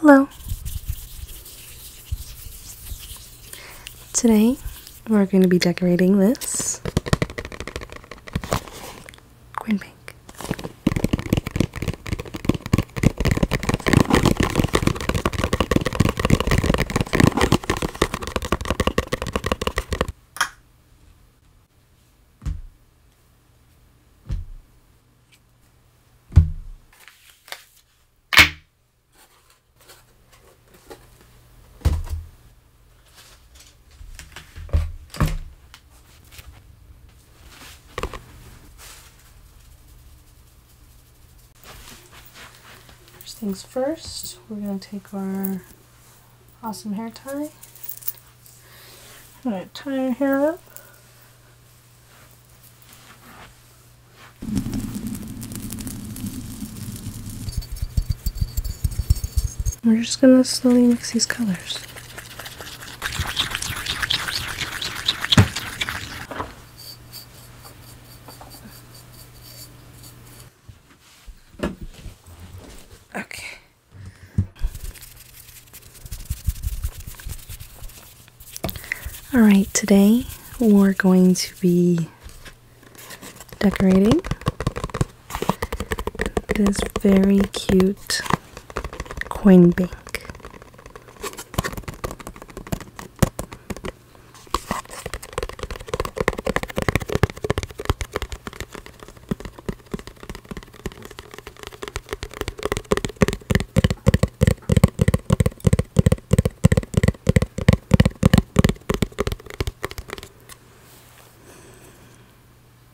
Hello. Today we're going to be decorating this green pink. First things first, we're going to take our awesome hair tie. I'm going to tie our hair up. We're just going to slowly mix these colors. Okay. All right, today we're going to be decorating this very cute Coinbank.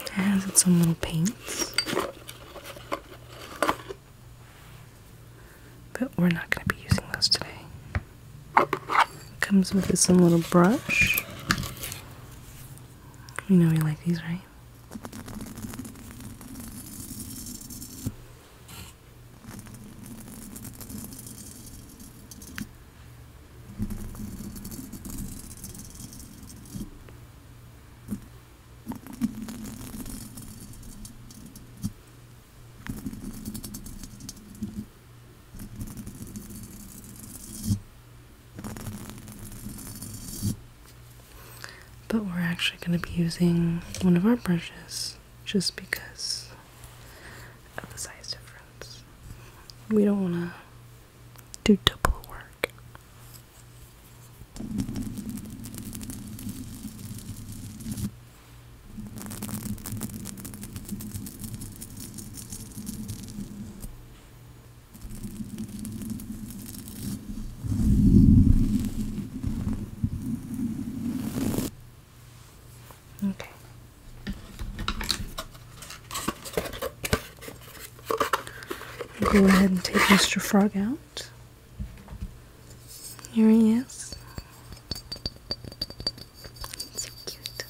It has its own little paints. But we're not going to be using those today. comes with some little brush. You know we like these, right? But we're actually going to be using one of our brushes just because of the size difference. We don't want to do double work. Okay, go ahead and take Mr. Frog out. Here he is. So cute.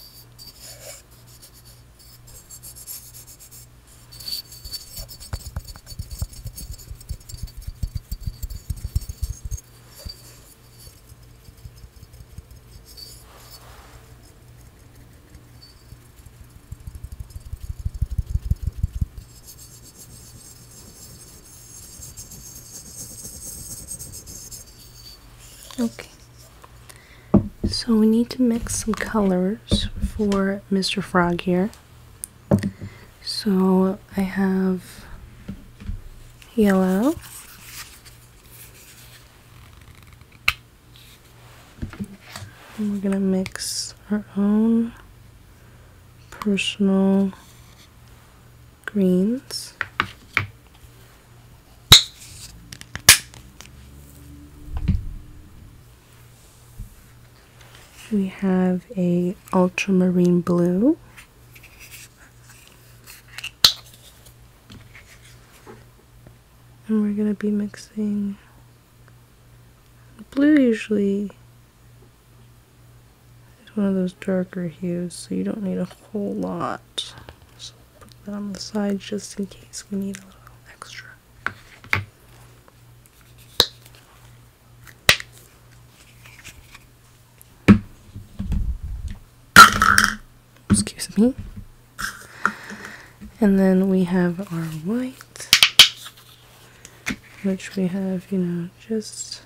Okay, so we need to mix some colors for Mr. Frog here. So I have yellow, and we're gonna mix our own personal greens. We have a ultramarine blue and we're going to be mixing blue usually it's one of those darker hues so you don't need a whole lot so put that on the side just in case we need a little extra excuse me. And then we have our white, which we have, you know, just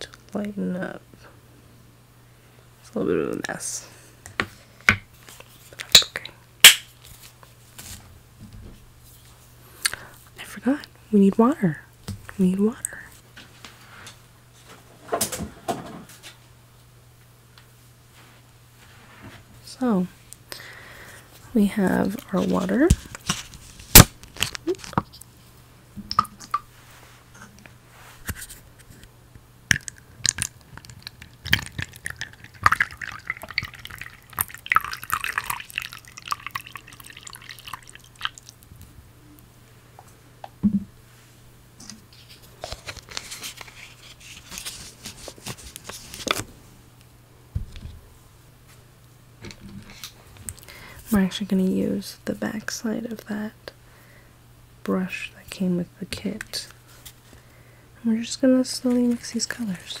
to lighten up. It's a little bit of a mess. Okay. I forgot. We need water. We need water. So we have our water. We're actually going to use the back side of that brush that came with the kit. we're just going to slowly mix these colors.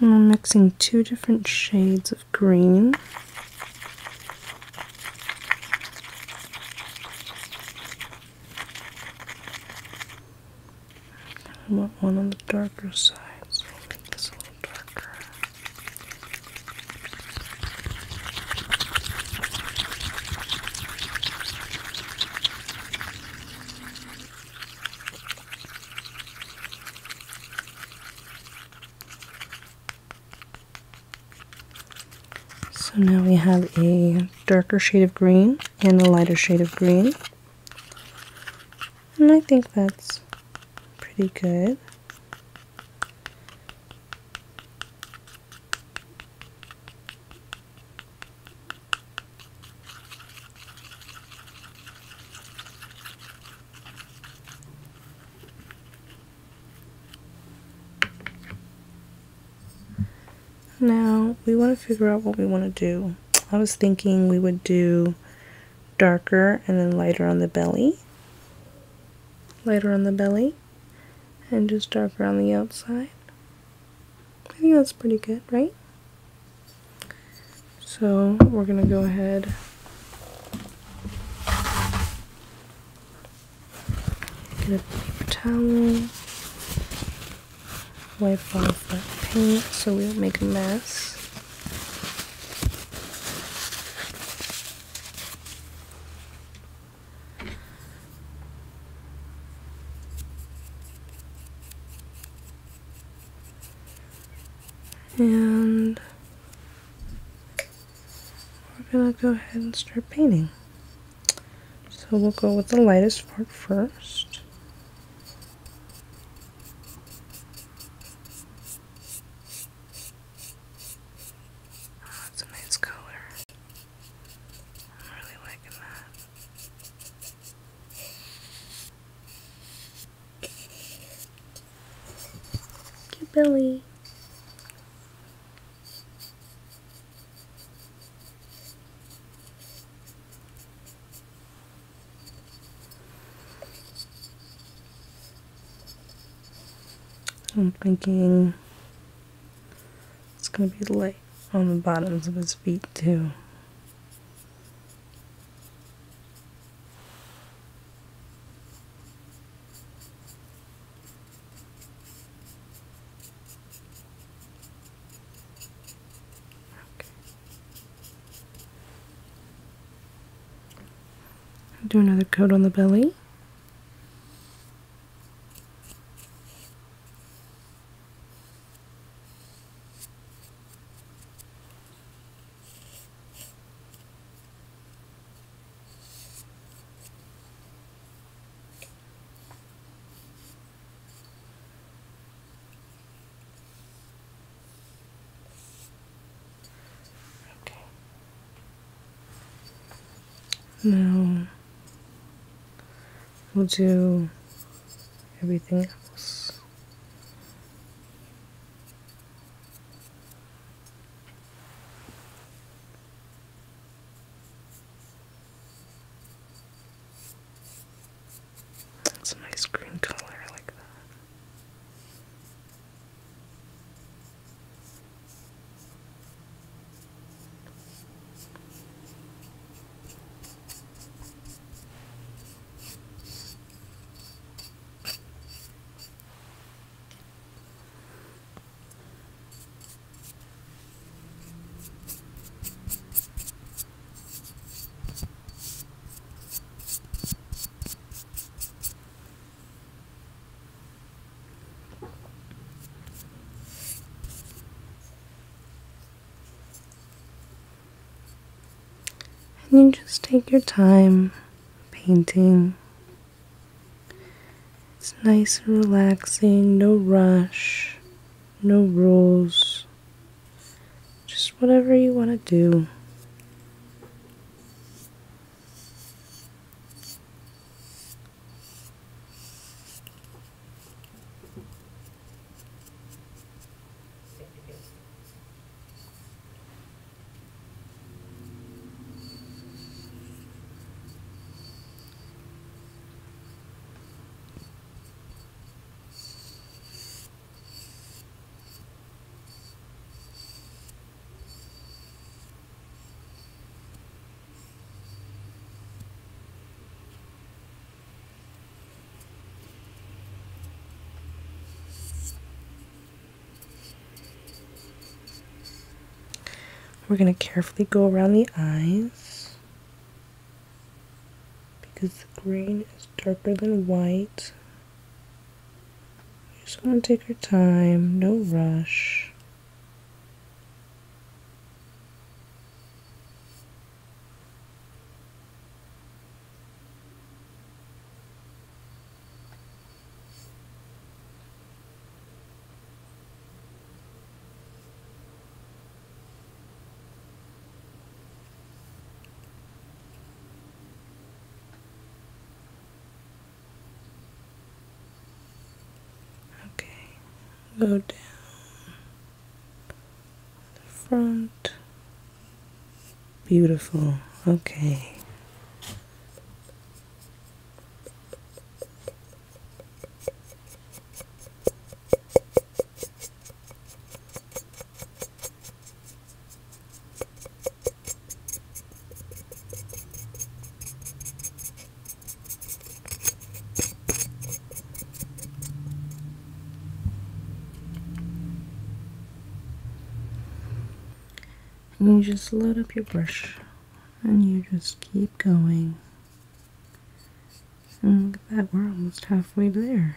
I'm mixing two different shades of green. I want one on the darker side, so I'll take so now we have a darker shade of green and a lighter shade of green and I think that's pretty good. Now we want to figure out what we want to do. I was thinking we would do darker and then lighter on the belly lighter on the belly and just darker on the outside I think that's pretty good right so we're gonna go ahead get a paper towel wipe off that paint so we don't make a mess and we're going to go ahead and start painting. So we'll go with the lightest part first. Oh, that's a nice color. I'm really liking that. Cute Billy. I'm thinking it's going to be light on the bottoms of his feet too. Okay do another coat on the belly Okay. Now we'll do everything else. That's a nice green color, like that. And you just take your time painting. It's nice and relaxing, no rush, no rules. Just whatever you want to do. We're going to carefully go around the eyes because the green is darker than white. I just going to take your time, no rush. Okay, go down the front. Beautiful. Okay. And you just load up your brush and you just keep going. And look at that, we're almost halfway there.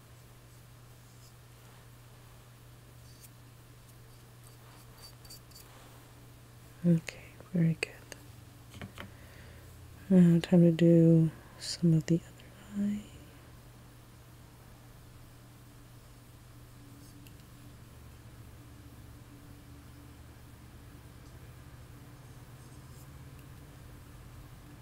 Okay, very good. Now, time to do some of the other eye.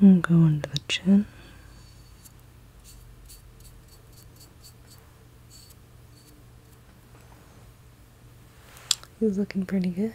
And go under the chin. He's looking pretty good.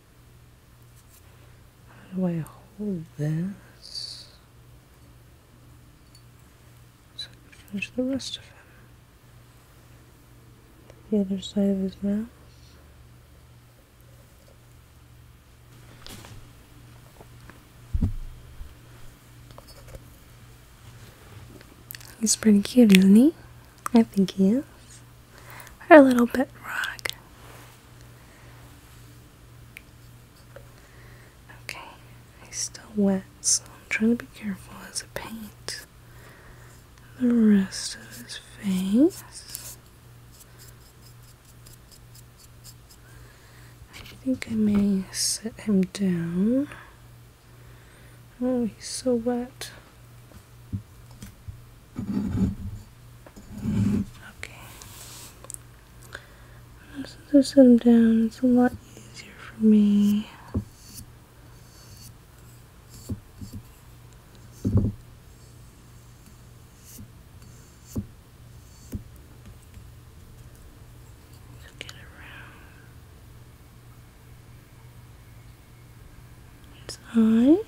how do I hold this? So I can finish the rest of him. The other side of his mouth. He's pretty cute, isn't he? I think he is or a little bit rock. Okay, he's still wet, so I'm trying to be careful as I paint the rest of his face. I think I may set him down. Oh, he's so wet. Okay. Let's just set them down, it's a lot easier for me. to get around. Inside.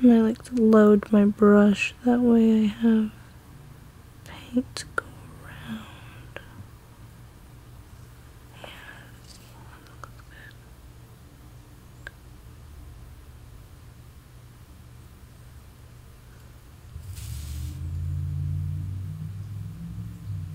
And I like to load my brush, that way I have paint to go around. Yeah,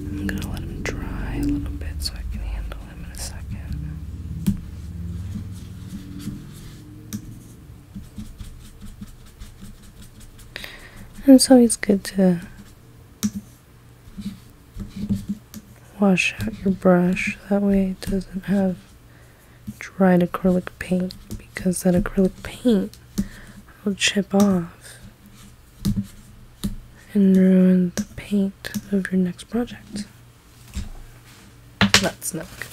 I'm gonna let them dry a little bit so I can handle and so it's good to wash out your brush, that way it doesn't have dried acrylic paint because that acrylic paint will chip off and ruin the paint of your next project. That's not good.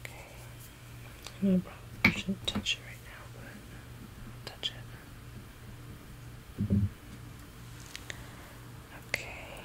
Okay. No I shouldn't touch it right now, but touch it. Okay.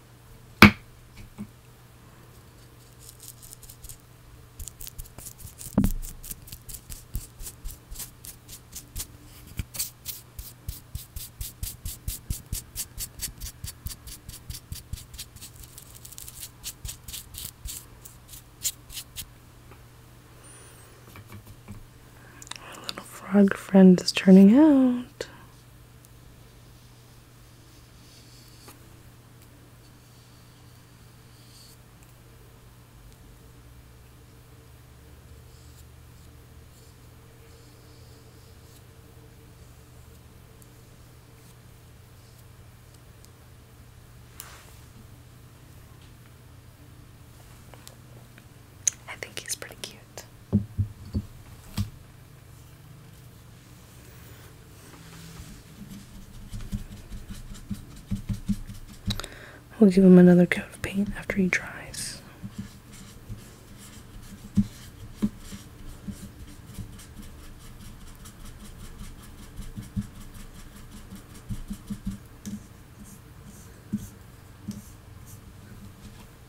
Our little frog friend is turning out. I think he's pretty cute. We'll give him another coat of paint after he dries.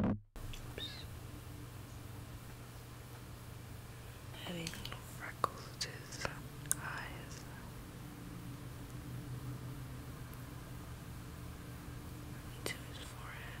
Oops. freckles eyes. To his forehead.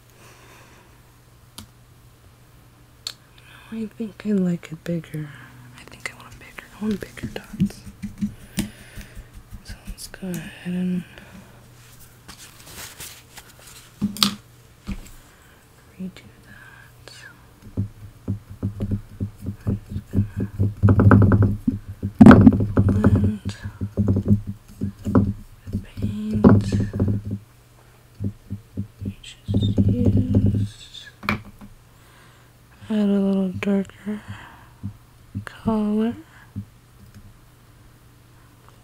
I think I like it bigger. I think I want bigger. I want bigger dots. So let's go ahead and redo that. I'm just gonna blend the paint just add a little darker color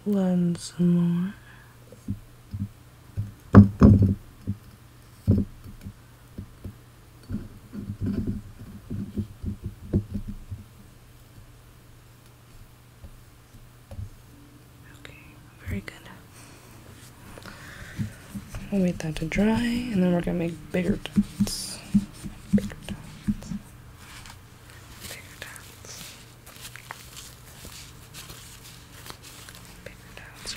blend some more Okay, very good. We'll wait that to dry and then we're gonna make bigger dots. Bigger dots. Bigger dots. Bigger dots